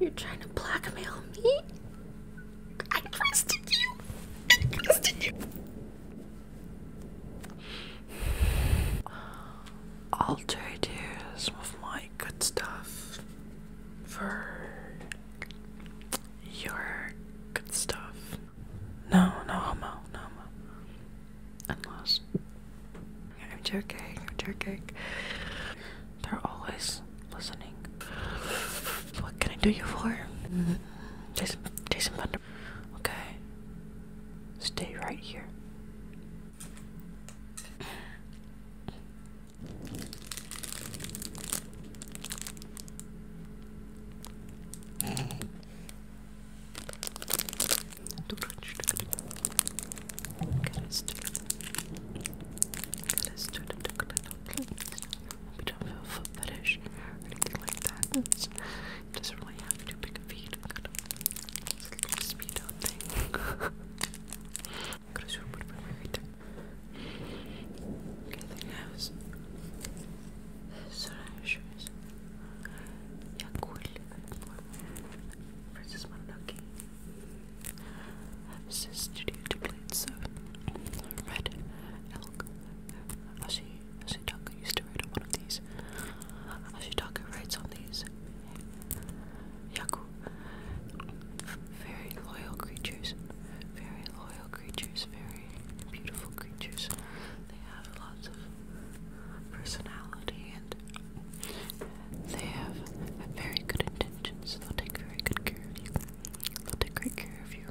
You're trying to blackmail me? I trusted you! I trusted you! I'll trade some of my good stuff for your good stuff. No, no homo, no homo. Unless I'm joking, I'm joking. They're always listening. What can I do you for? Mm Jason, Jason Thunder. Okay. Stay right here. We don't have a foot fetish or anything like that. it doesn't really have too big a feet. it's a little speed thing. Could have sworn would have been Sunashers, Yakul versus Mononoke. Sis Studio duplicates of Red Elk. Ashi, Ashitaka used to write on one of these. Ashitaka writes on these. Yaku. Very loyal creatures. Very loyal creatures. Very beautiful creatures. They have lots of personality and they have very good intentions. They'll take very good care of you. They'll take great care of you.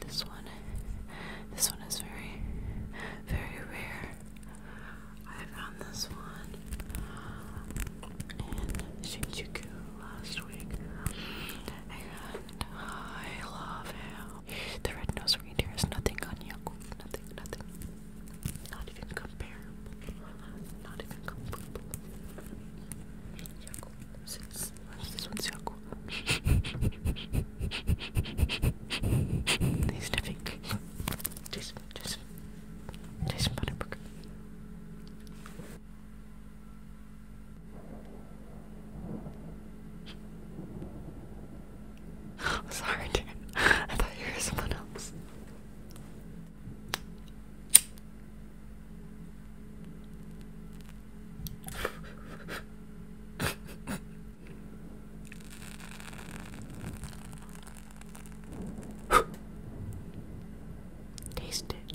This one, this one is very, very rare. I found this one in Shinjuku last week and I love him. The red-nosed reindeer is nothing on Yakub. Nothing, nothing. Not even comparable. Not even comparable. Yakub six. This one's Yakub. He's sniffing. Jason, Jason, Jason Butterburger. Oh, sorry, dude. I thought you were someone else. Taste it.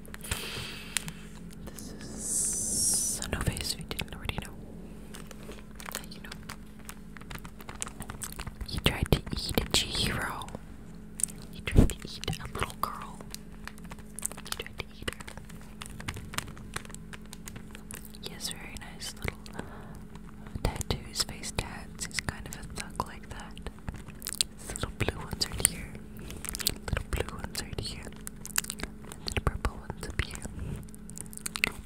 This is a no face you didn't already know. you know. He tried to eat a hero. He tried to eat a little girl. He tried to eat her. Yes, very nice little uh, tattoos, face tats. He's kind of a thug like that. These little blue ones right here. Little blue ones right here. And then purple ones up here.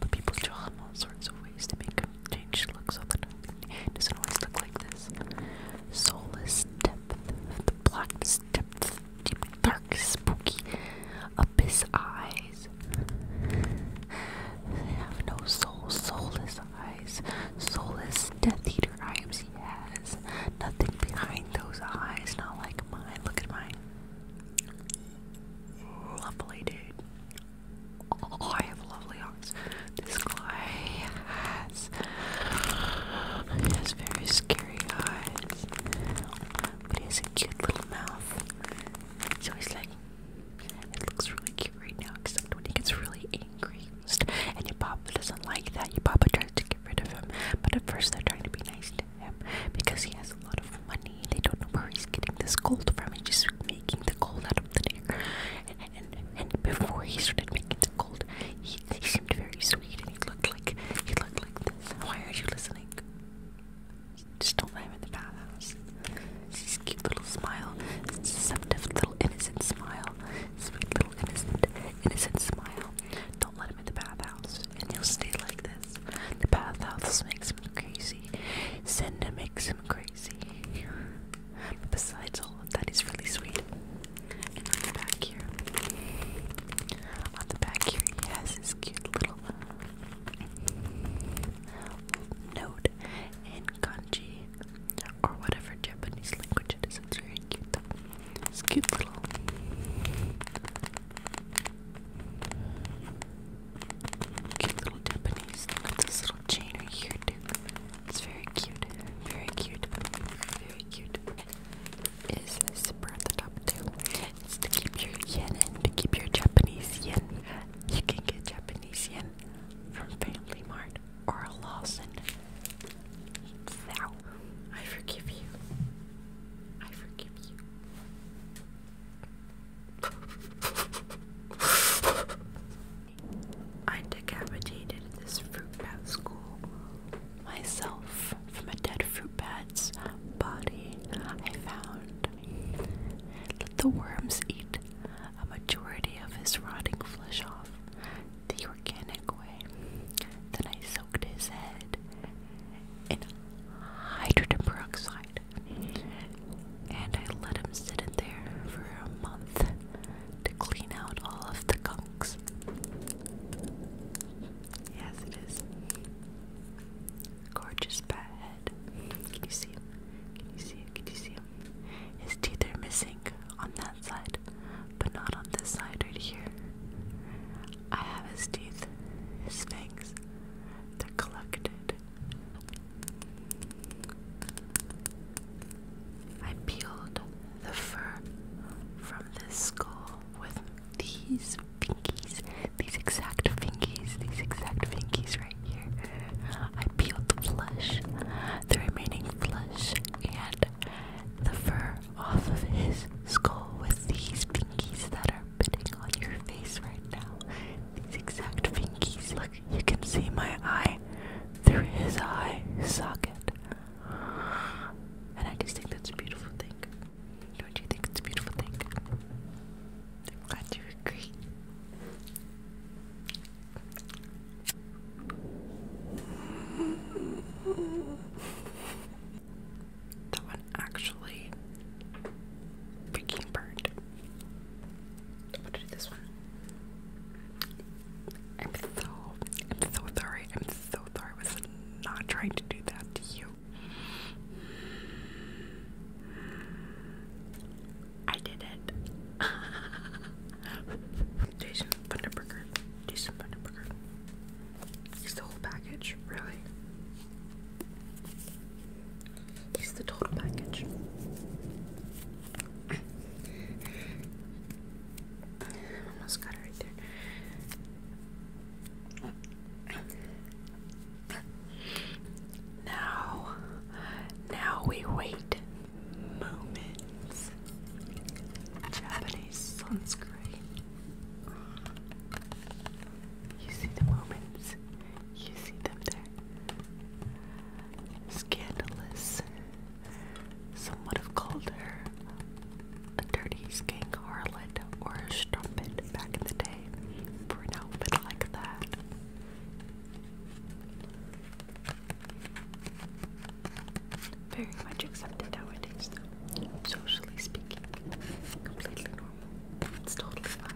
But people draw in all sorts of ways to make them change look so that doesn't always look like this. Soulless depth, the blackest depth, deep, dark, spooky, abyss eyes. They have no soul, soulless eyes, soulless death eater eyes he has. Nothing behind those eyes, not like mine. Look at mine. Lovely, dude. Oh, I have lovely eyes. This guy has, he has very scary eyes, but he has a cute little mouth. So he's like, it looks really cute right now, except when he gets really angry. And your papa doesn't like that. Your papa tries to get rid of him. But at first, they're trying to be nice to him because he has a lot of money. They don't know where he's getting this gold from. He's just making the gold out of the air. And, and, and before he started making the gold, he, he seemed very sweet and he looked like he looked like this. Why are you listening? Just don't let him in the bathhouse. It's this cute little smile, this deceptive little innocent smile, sweet little innocent innocent smile. Don't let him in the bathhouse, and he'll stay like this. The bathhouse makes him crazy. Senda makes him crazy. But besides all of that, he's really sweet. on the back here, on the back here, he has his cute little um, note in kanji or whatever Japanese language it is. It's very cute. It's cute little. Cute little Japanese. Look at this little chain right here too. It's very cute. Very cute. Very cute. Is zipper at the top too. It's to keep your yen and to keep your Japanese yen. You can get Japanese yen from Family Mart or Lawson. Thou. I forgive you. I forgive you. I decapitated this fruit school myself from a dead fruit bat's body I found. Let the worms eat a majority of his rotting flesh off the organic way. Then I soaked his head in hydrogen peroxide and I let him sit in there for a month to clean out all of the gunks. Yes, it is. Gorgeous bat head. Can you see him? Can you see him? Can you see him? His teeth are missing on that side, but not on this side right here. I have his teeth, his fangs. They're collected. I peeled the fur from this skull with these fingies, these exact fingies, these exact fingies right here. I peeled the flesh, the remaining flesh, and the fur off of his skull with these pinkies that are biting on your face right now. These exact pinkies. Look, you can see my eye through his eye socket. And I just think that's a beautiful thing. Don't you think it's a beautiful thing? I'm glad you agree. That one actually freaking burned. I'm to do this one. I'm so, I'm so sorry. I'm so sorry. I was not trying to do that to you. I did it. Jason Bunderberger. Jason Bunderberger. He's the whole package, really. He's the total package. almost got it right there now, now we wait moments. Japanese sunscreen. You see the moments. You see them there. Scandalous. Some would have called her a dirty skank harlot or a strumpet back in the day for an outfit like that. Very much accepted nowadays, Socially speaking, completely normal. It's totally fine.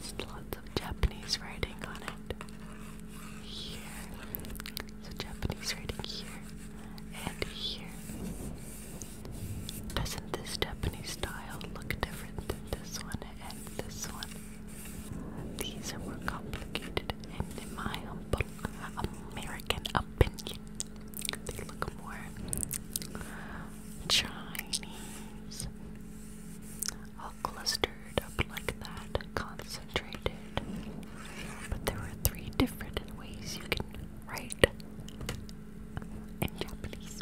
There's lots of Japanese writing on it. Here, so Japanese writing here and here. Doesn't this Japanese style look different than this one and this one? These are more complicated and in my humble American opinion, they look more Chinese. All clustered up like that, concentrated but there are three different ways you can write in Japanese.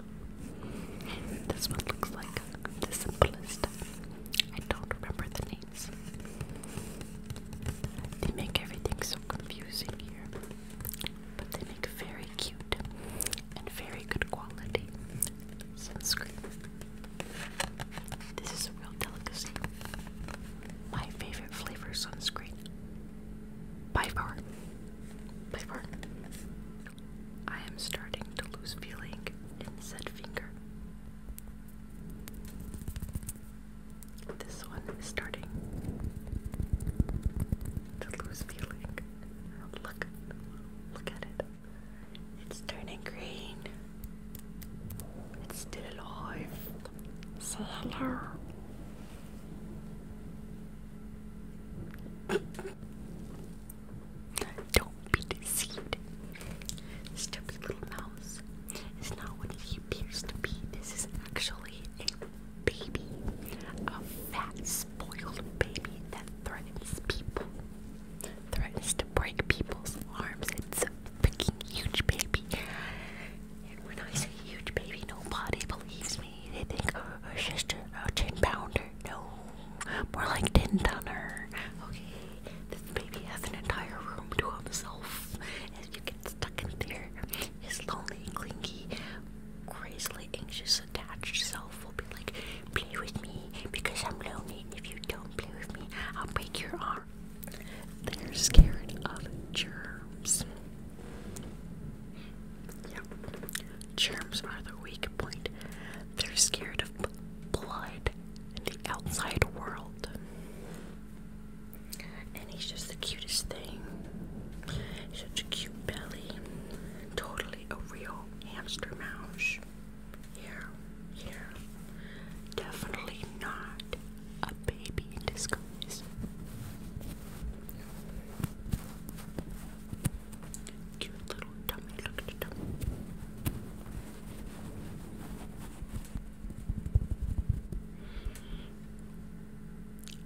This one looks like the simplest. I don't remember the names. They make everything so confusing here, but they make very cute and very good quality sunscreen. This is a real delicacy. My favorite flavor sunscreen. By far. By far. I am starting to lose feeling in said finger. This one is starting to lose feeling. Look, look at it. It's turning green. It's still alive. Say hello. Don't be deceived. Stupid little mouse is not what he appears to be. This is actually a baby. A fat, spoiled baby that threatens people threatens to break people's arms. It's a freaking huge baby. And when I say huge baby, nobody believes me. They think, oh, it's just a, 10 pounder. No, more like 10 tonner. Okay, this baby has an entire room to himself. And you get stuck in there. His lonely, clingy, crazily anxious, attached self will be like, play with me, because I'm lonely. If you don't play with me, I'll break your arm. They're scared of germs. Yep. Germs are the weak point. They're scared of blood and the outside world. And he's just the cutest thing. such a cute belly. Totally a real hamster mouse. Here, here. Definitely not a baby in disguise. Cute little tummy, look at the tummy.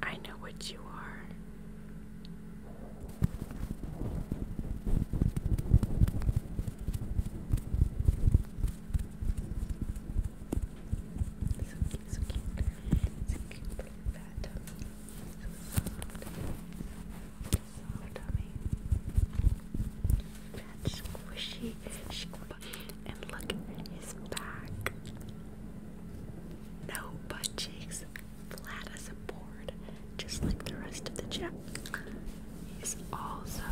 I know what you are cute, so cute. It's cute fat So soft. Soft tummy. Fat, squishy, squishy. And look, his back. No butt cheeks flat as a board, just like the rest of the chip. He's also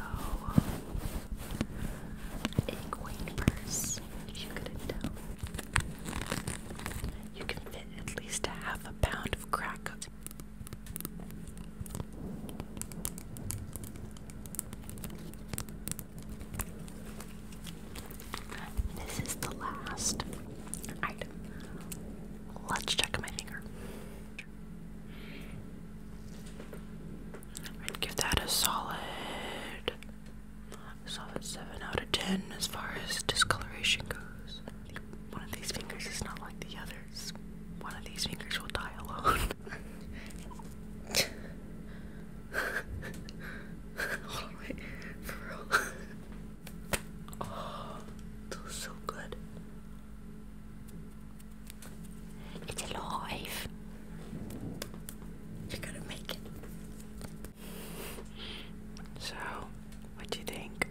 a coin purse, if you could tell. You can fit at least a half a pound of crack. This is the last item. Let's check my finger. give that a solid, solid seven out of ten as far as discoloration goes. One of these fingers is not like the others. One of these fingers will die alone. Hold on, wait. For real. Oh, so good. It's alive. You're gonna make it. So, what do you think?